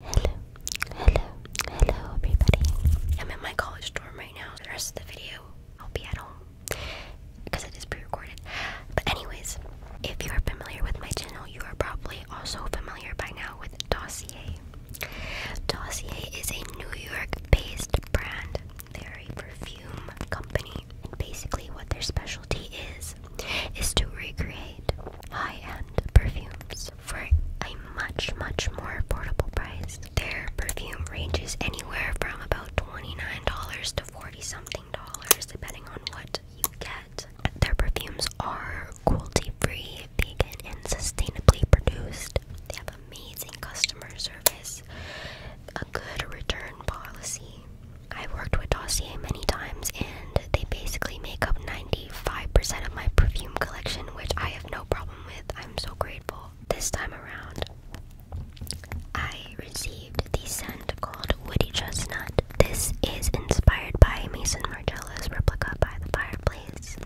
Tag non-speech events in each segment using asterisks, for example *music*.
Hello, hello, hello everybody. I'm in my college dorm right now. For The rest of the video, I'll be at home because it is pre-recorded. But anyways, if you are familiar with my channel, you are probably also familiar by now with Dossier. Dossier is a New York-based brand. They're a perfume company. And basically what their specialty is, is to recreate high-end perfumes for a much, much more affordable price. Their perfume ranges anywhere from about $29 to 40 something dollars depending on what you get. Their perfumes are cruelty free, vegan, and sustainably produced. They have amazing customer service, a good return policy. I've worked with Dossier many times and they basically make up 95% of my perfume collection, which I have no problem with. I'm so grateful. This time around, I received the scent called Woody Chestnut. This is inspired by Mason Margiela's replica by the fireplace,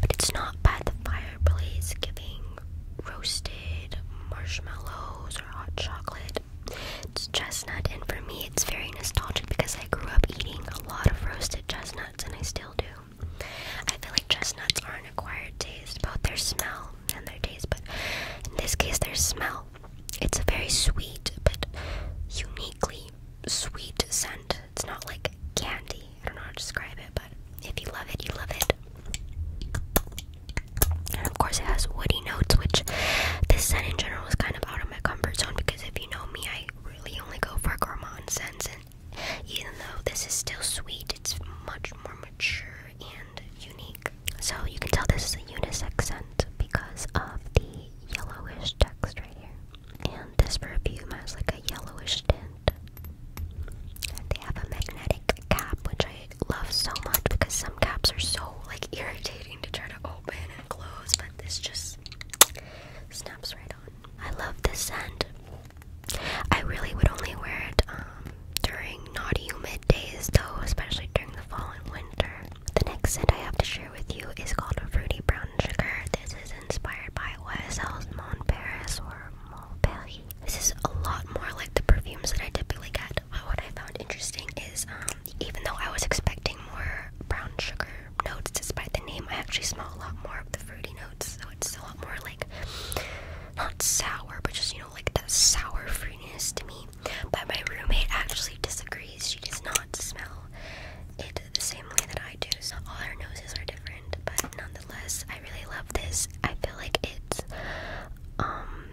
but it's not by the fireplace giving roasted marshmallows or hot chocolate. It's chestnut, and for me, it's very nostalgic because I I grew up eating a lot of roasted chestnuts, and I still do. I feel like chestnuts are an acquired taste, both their smell and their taste, but in this case, their smell. It's a very sweet, but uniquely sweet scent. It's not like candy. I don't know how to describe it, but if you love it, you love it. And of course, it has woody notes, which this scent in general is kind of out of my comfort zone because if you know me, I really only go for gourmand scents, and even though this is still sweet, it's much more mature and unique. So you can tell this is a unisex scent because of the yellowish text right here. And this perfume has like a yellowish tint. They have a magnetic cap, which I love so much because some caps are so like irritating to try to open and close, but this just I love this scent. I really would only wear it um, during not humid days though, especially during the fall and winter. The next scent I have to share with you is called Fruity Brown Sugar. This is inspired by YSL's Mon Paris or Montpellier. This is a lot more like the perfumes that I typically get, but what I found interesting is um, even though I was expecting more brown sugar notes, despite the name, I actually smell a lot more of the fruity notes. So it's a lot more like not sour, but just you know, like that sour fruitiness to me. But my roommate actually disagrees. She does not smell it the same way that I do. So all our noses are different, but nonetheless, I really love this. I feel like it's um,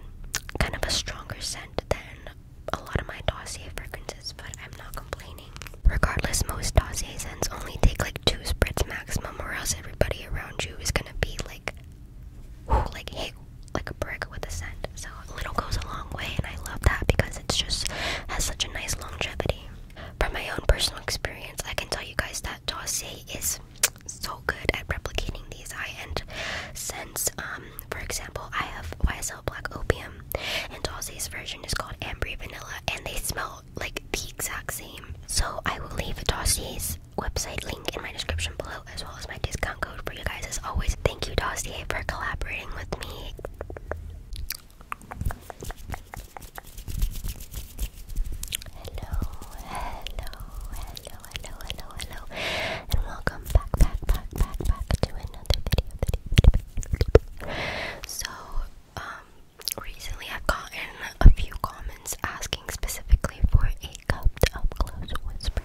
kind of a stronger scent than a lot of my dossier fragrances, but I'm not complaining. Regardless, most dossier scents only take like two spreads maximum, or else everybody around you is gonna be like, who, like hey, like a brick with a scent. So a little goes a long way, and I love that because it's just has such a nice longevity. From my own personal experience, I can tell you guys that dossier is so good at replicating these high-end scents. Um, for example, I have YSL black opium. And Aussie's version is called Ambry Vanilla, and they smell like the exact same. So I will leave Dossier's website link in my description below, as well as my discount code for you guys. As always, thank you Dossier for collaborating with me. Hello, hello, hello, hello, hello, hello, and welcome back, back, back, back, back to another video, so, um, recently I've gotten a few comments asking specifically for a cupped up close whisper,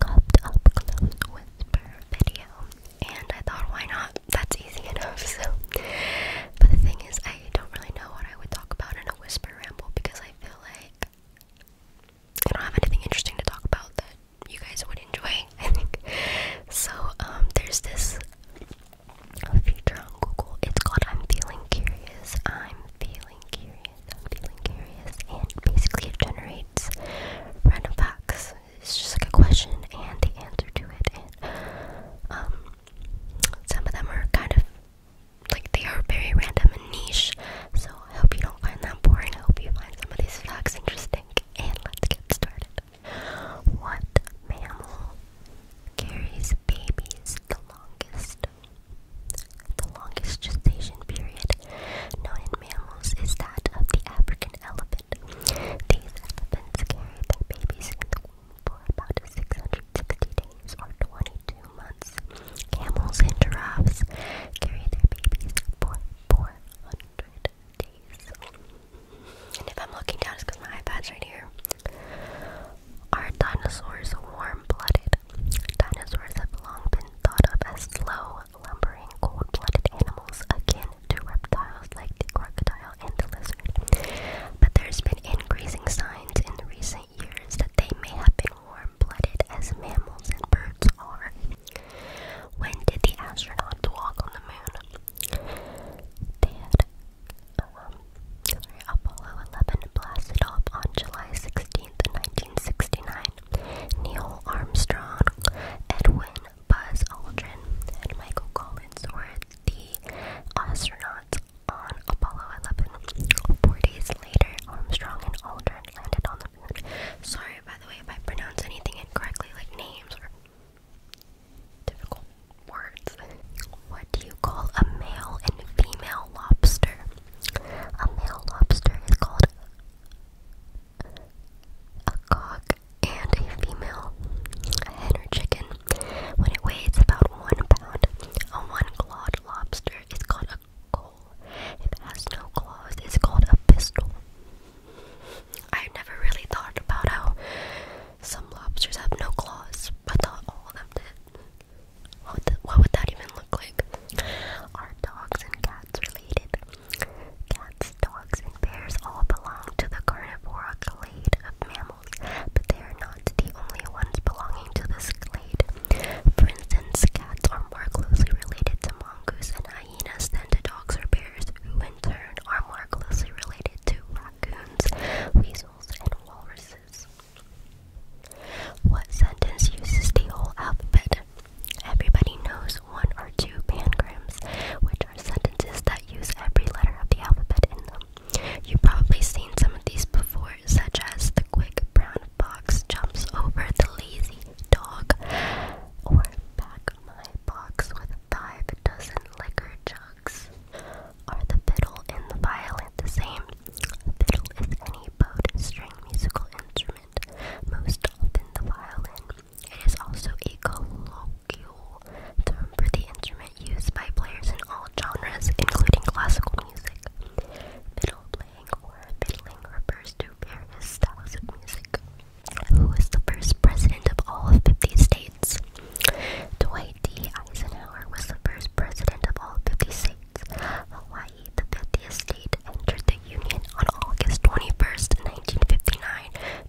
cupped up close whisper video, and I thought, why not? That's easy enough. *laughs* So, but the thing is, I don't really know what I would talk about in a whisper ramble because I feel like I don't have anything interesting to talk about you guys would enjoy, *laughs* I think. So, um, there's this feature on Google. It's called I'm Feeling Curious. I'm Feeling Curious. I'm Feeling Curious. And basically, it generates random facts. It's just like a question and the answer to it. And, um, some of them are kind of like they are very random and niche. So, I hope you don't find that boring. I hope you find some of these facts interesting and let's get started. What mammal carries babies the longest? The longest gestation period known in mammals is that of the African elephant. These elephants carry their babies in the womb for about 660 days or 22 months. Camels and giraffes carry their babies for 400 hundred And if I'm looking down, it's because my iPad's right here. Are dinosaurs warm-blooded? Dinosaurs have long been thought of as slow, lumbering, cold-blooded animals akin to reptiles like the crocodile and the lizard. But there's been increasing signs in recent years that they may have been warm-blooded as mammals and birds are. When did the astronauts walk on the moon? They um, Apollo 11 blasted off on July 16th, 1969. Neil Armstrong, Edwin Buzz Aldrin, and Michael Collins were the astronauts on Apollo 11. Four days later, Armstrong and Aldrin landed on the Sorry, by the way, if I pronounce anything incorrectly, like names or difficult words. What do you call a male and female lobster? A male lobster is called a cock and a female hen or chicken. When it weighs about one pound, a one-clawed lobster is called a coal. it has no claws, it's called a pistol. I've never really thought about how some lobsters have no claws. but thought all of them did. What, would that even look like? Are dogs and cats related? Cats, dogs, and bears all belong to the carnivora clade of mammals, but they are not the only ones belonging to this clade. For instance, cats are more closely related to mongoose and hyenas than to dogs or bears, who in turn are more closely related to raccoons, weasels, and walruses. What sentence uses the whole alphabet? Everybody knows one or two pangrams, which are sentences that use every letter of the alphabet in them. You've probably seen some of these before, such as the quick brown fox jumps over the lazy dog, or back my box with five dozen liquor jugs. Are the fiddle and the violin the same? fiddle is any bowed string musical instrument, most often the violin. It is also a colloquial term for the instrument used by players in all genres, including classical music. Fiddle playing or fiddling refers to Marilyn styles of music. Who was the first president of all 50 states? Dwight D. Eisenhower was the first president of all 50 states. Hawaii, the 50th state, entered the Union on August 21, 1959,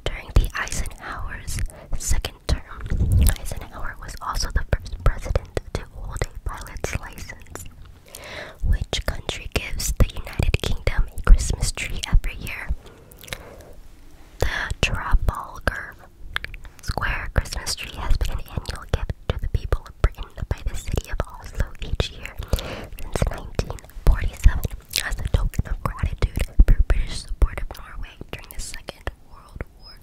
during the Eisenhower's second term. Eisenhower was also the first president to hold a pilot's license. Which country gives the United Kingdom a Christmas tree at the Trafalgar Square Christmas tree has been an annual gift to the people of Britain by the city of Oslo each year since 1947 as a token of gratitude for British support of Norway during the Second World War.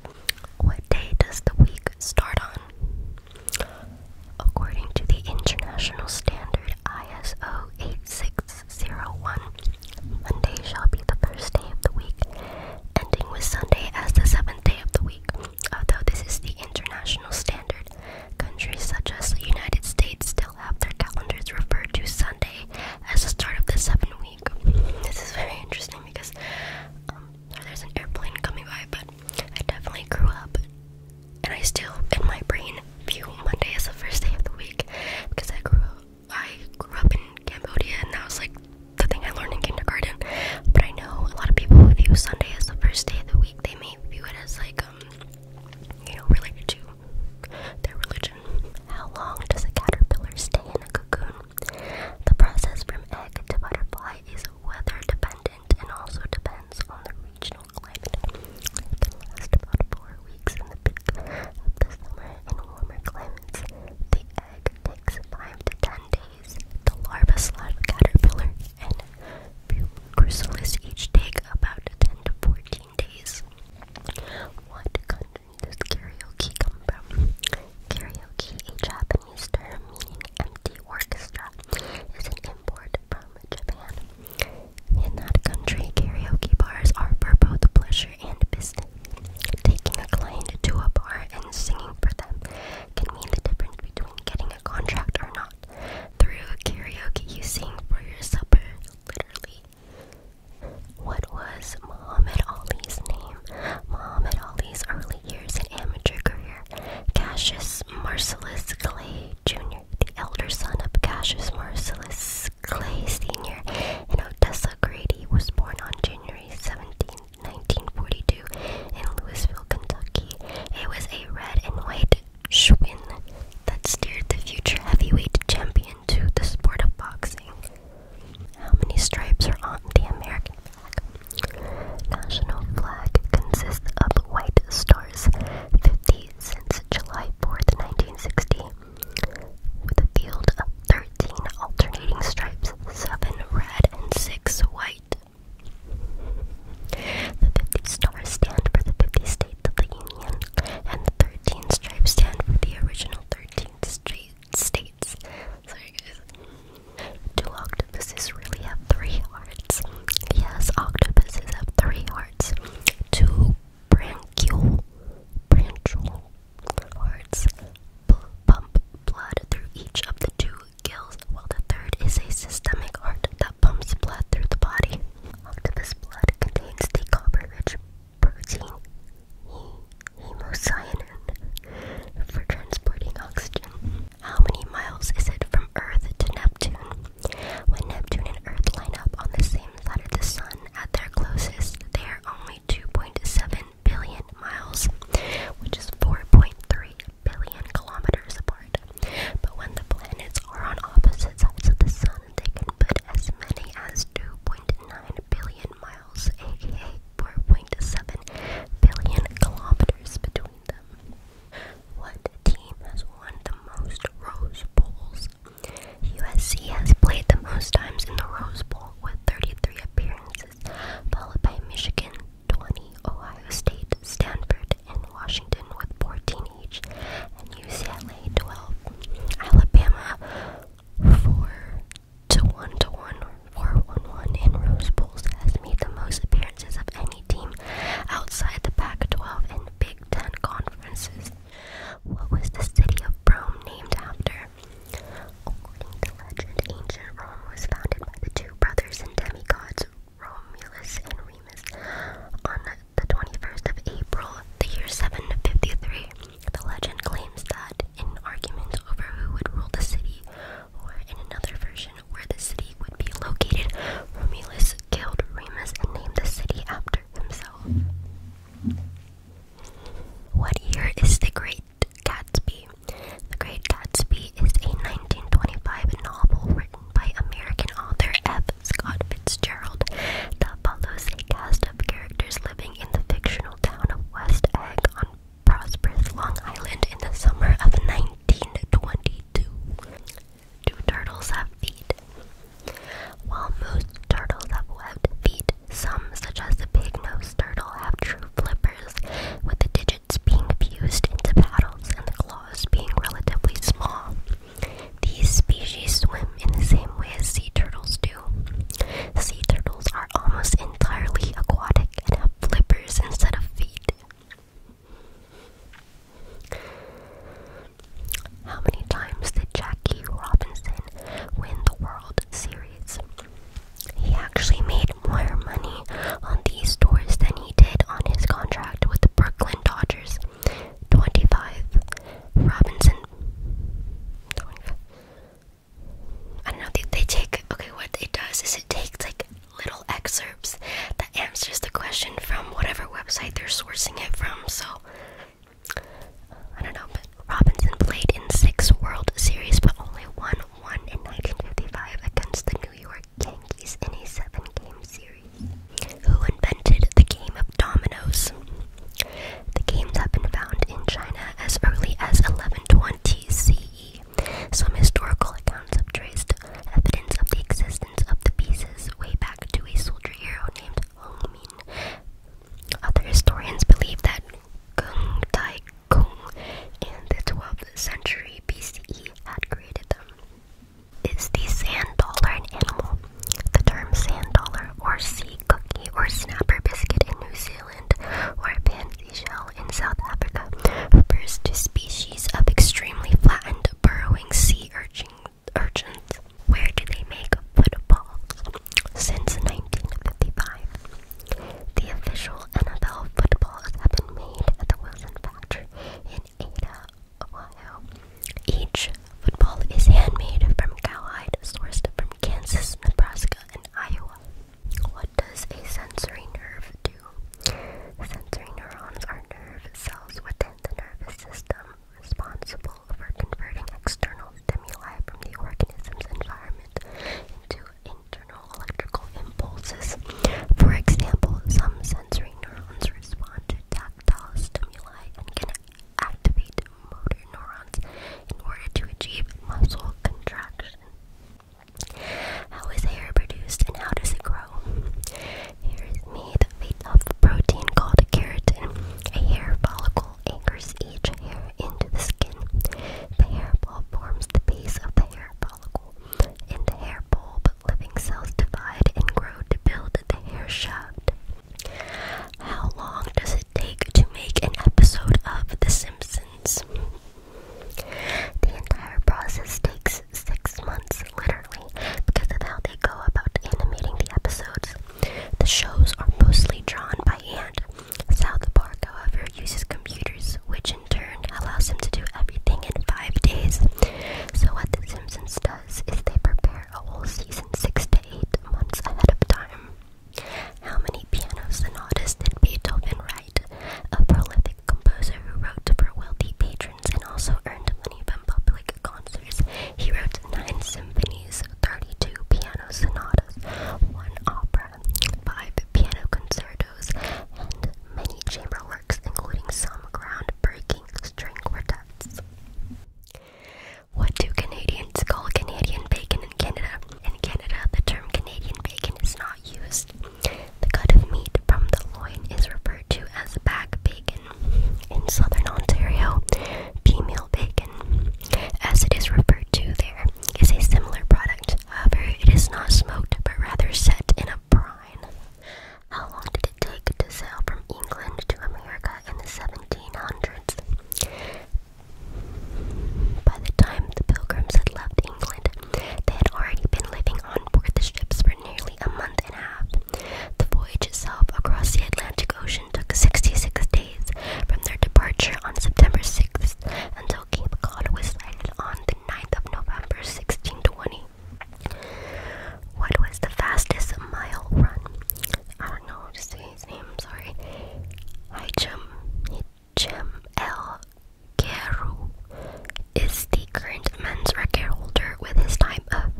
What day does the week start on? According to the International Standard ISO 8601. Monday shall be the first day of the week, ending with Sunday as the seventh day of the week. Although this is the international standard, countries such as the United States still have their calendars referred to Sunday as the start of the seventh week. This is very interesting because um, there's an airplane coming by, but I definitely grew up and I still, in my brain, view Monday as the first day of the week because I grew up, I grew up in Cambodia, and that was like the thing I learned in kindergarten. But I know a lot of people who view Sunday as the first day of the week. They may view it as like um, you know, related to their religion. How long does a caterpillar stay in a cocoon? The process from egg to butterfly is weather dependent and also depends on the regional natural It can last about four weeks in the peak of the summer in warmer climates. The egg takes five to ten days. The larva slash caterpillar and chrysalis each take about ten to fourteen days. What country does karaoke come from? Karaoke, a Japanese term meaning empty orchestra, is an import from Japan. In that country, karaoke bars are for both pleasure and business. Taking a client to a bar and singing for them can mean the difference between getting a contract or not. Through karaoke, you sing for your supper, literally. What was Muhammad Ali's name? Muhammad Ali's early years in amateur career. Cassius Marcellus Clay Jr., the elder son of Cassius Marcellus Clay Sr. and Odessa Grady, was born on January 17, 1942, in Louisville, Kentucky. It was a red and white Schwinn that steered the future heavyweight champion to the sport of boxing. How many stripes are on the American flag? National flag consists of white stars, 50 cents July 4th, 1960, with a field of 13 alternating stripes, 7 red and 6 white. The 50 stars stand for the 50 states of the Union, and the 13 stripes stand for the original 13 states. Sorry, guys. Do octopuses really have three hearts? Yes, octopuses have three hearts. Two branchial, branchial hearts pump blood through each of the two gills, while the third is a systemic heart that pumps blood through the body. Octopus blood contains the copper-rich protein hemocyanin for transporting oxygen. How many miles is it from Earth to Neptune? When Neptune and Earth line up on the same side of the Sun at their closest, they are only 2.7 billion miles, which is 4.3 billion kilometers apart. But when the planets are on opposite sides of the Sun, they can put as many as 2.9 billion miles, aka 4.7 billion kilometers between them. What team has won the most Rose Bowls USC has played the most times in the Rose Bowl with 33 appearances, followed by Michigan 20, Ohio State, Stanford, and Washington with 14 each, and UCLA 12. Alabama 4 to 1 to 1 4 1 1 in Rose Bowls has made the most appearances of any team outside the Pac 12 and Big Ten conferences. What was the city of Rome named after? According to legend, ancient Rome was founded by the two brothers and demigods Romulus and Remus on the 21st of April, the year 753. The legend claims that in arguments over who would rule the city, or in another version, where the city would be located, Romulus killed Remus and named the city after what year is The Great Gatsby? The Great Gatsby is a 1925 novel written by American author F. Scott Fitzgerald that follows a cast of characters living in the fictional town of West Egg on prosperous Long Island in the summer of 1922. Do turtles have feet? While most turtles have webbed feet, some, such as the pig-nosed turtle, have true flippers, with the digits being fused into paddles and the claws being relatively small. These species swim in the same way as sea turtles do. Sea turtles are almost entirely aquatic and have flippers instead of feet. How many times did Jackie Robinson win the World Series? He actually made more money on these tours than he did on his contract with the Brooklyn Dodgers. 25. Robinson. 25. I know, they take. Okay, what it does is it takes like little excerpts that answers the question from whatever website they're sourcing it from. So I don't know, but Robinson played in six World Series, but only won one in 1955 against the New York Yankees in a seven-game series. Who invented the game of dominoes? The games has been found in China as early as 1120 CE. Some historical accounts have traced evidence of the existence existence of the pieces way back to a soldier hero named Hong Other historians believe that Gung Tai Kung in the 12th century BCE had created them. Is the sand dollar an animal? The term sand dollar or sea cookie or snapper biscuit in New Zealand or pansy shell in South Africa refers to species of extremely flattened burrowing sea urchins urchins. Where do they make footballs? Since 1955, the official NFL footballs have been made at the Wilson factory in Ada, Ohio. Each football is handmade from cowhide, sourced from Kansas, Nebraska, and Iowa. What does a sensory nerve do? Sensory neurons are nerve cells within the nervous system responsible for converting external stimuli from the organism's environment into internal electrical impulses. For example, some sensory neurons respond to tactile stimuli and can activate motor neurons in order to achieve muscle contraction. How is hair produced and how does it grow? Hair is made of a protein called keratin. A hair follicle anchors each hair into the skin. The hair bulb forms the base of the hair follicle. In the hair bulb, living cells divide and grow to build the hair shaft. How long does it take to make an episode of The Simpsons? The entire process takes six months literally, because of how they go about animating the episodes. The shows are mostly drawn by hand. South Park, however, uses computers, which in turn allows him to do everything in five days. So, what The Simpsons does is they prepare a whole season six to eight months ahead of time. How many piano did Beethoven write? A prolific composer who wrote for wealthy patrons and also earned money from public concerts. He wrote nine symphonies, 32 piano sonatas, one opera, five piano concertos, and many chamber works, including some groundbreaking string quartets. What do Canadians call Canadian bacon in Canada? In Canada, the term Canadian bacon is not used. The cut of meat from the loin is referred to as back bacon, in southern Ontario, pea bacon, as it is referred to there, is a similar product. However, it is not smoked but rather set in a brine. How long did it take to sail from England to America in the 1700s? By the time the pilgrims had left England, they had already been living on board the ships for nearly a month and a half. The voyage itself across the Atlantic Ocean took 66 days from their departure on September 6th until Cape Cod was sighted on the 9th of November 1620. What was the fastest mile run? I don't know how to say his name, sorry. Jim. Jim L. Geru is the current men's record holder with his time of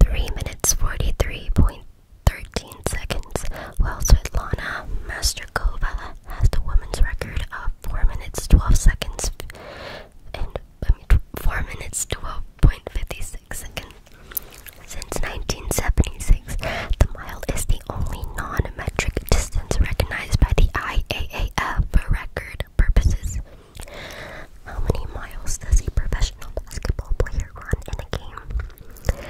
3 minutes 43.13 seconds, while Svetlana Masterkova has the women's record of 4 minutes 12 seconds and 4 minutes 12.56 seconds. Since 1976, the mile is the only non metric distance recognized by the IAAF for record purposes. How many miles does a professional basketball player run in a game?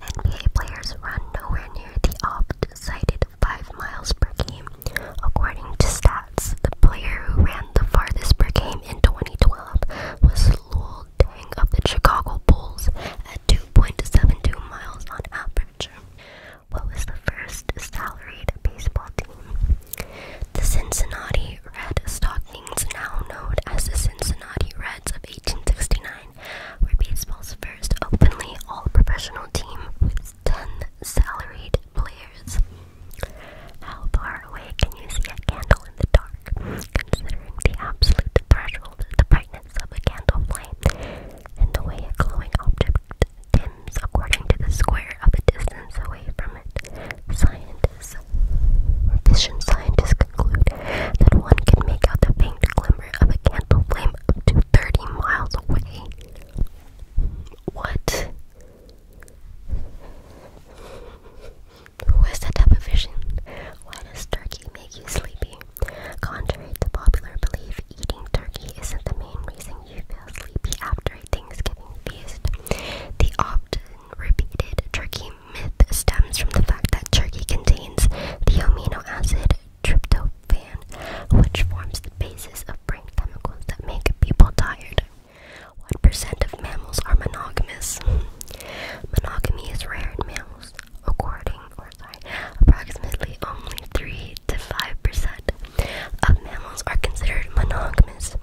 NBA players run nowhere near the oft-cited 5 miles per game. According to stats, the player who ran the farthest per game in 2012 was Luol Deng of the Chicago Bulls at 2.72 miles on average. What was the first salaried baseball team? The Cincinnati Red Stockings, now known as the Cincinnati Reds of 1869, were baseball's first openly all professional team with 10 salaried players. How far away can you see a candle in the dark, considering the absolute threshold, the brightness of a candle flame, and the way a glowing object dims according to the square aware of distance away from it. Scientists, vision scientists conclude that one can make out the faint glimmer of a candle flame up to 30 miles away. What? Who is that type of vision? Why does turkey make you sleepy? Contrary to popular belief, eating turkey isn't the main reason you feel sleepy after a Thanksgiving feast. The opt repeated turkey myth stems from the fact that turkey contains the amino acid tryptophan, which forms the basis of brain chemicals that make people tired. 1% of mammals are monogamous. Monogamy is rare in mammals, approximately only 3 to 5% of mammals are considered monogamous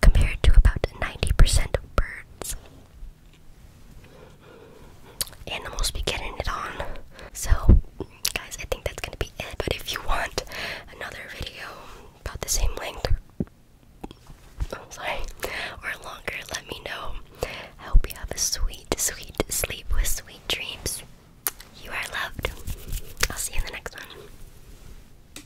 compared to about 90% of birds. Animals be getting it on. So, guys, I think that's gonna be it. But if you want another video about the same length, oh, sorry, or longer, let me know. I hope you have a sweet, sweet sleep with sweet dreams. You are loved. I'll see you in the next one.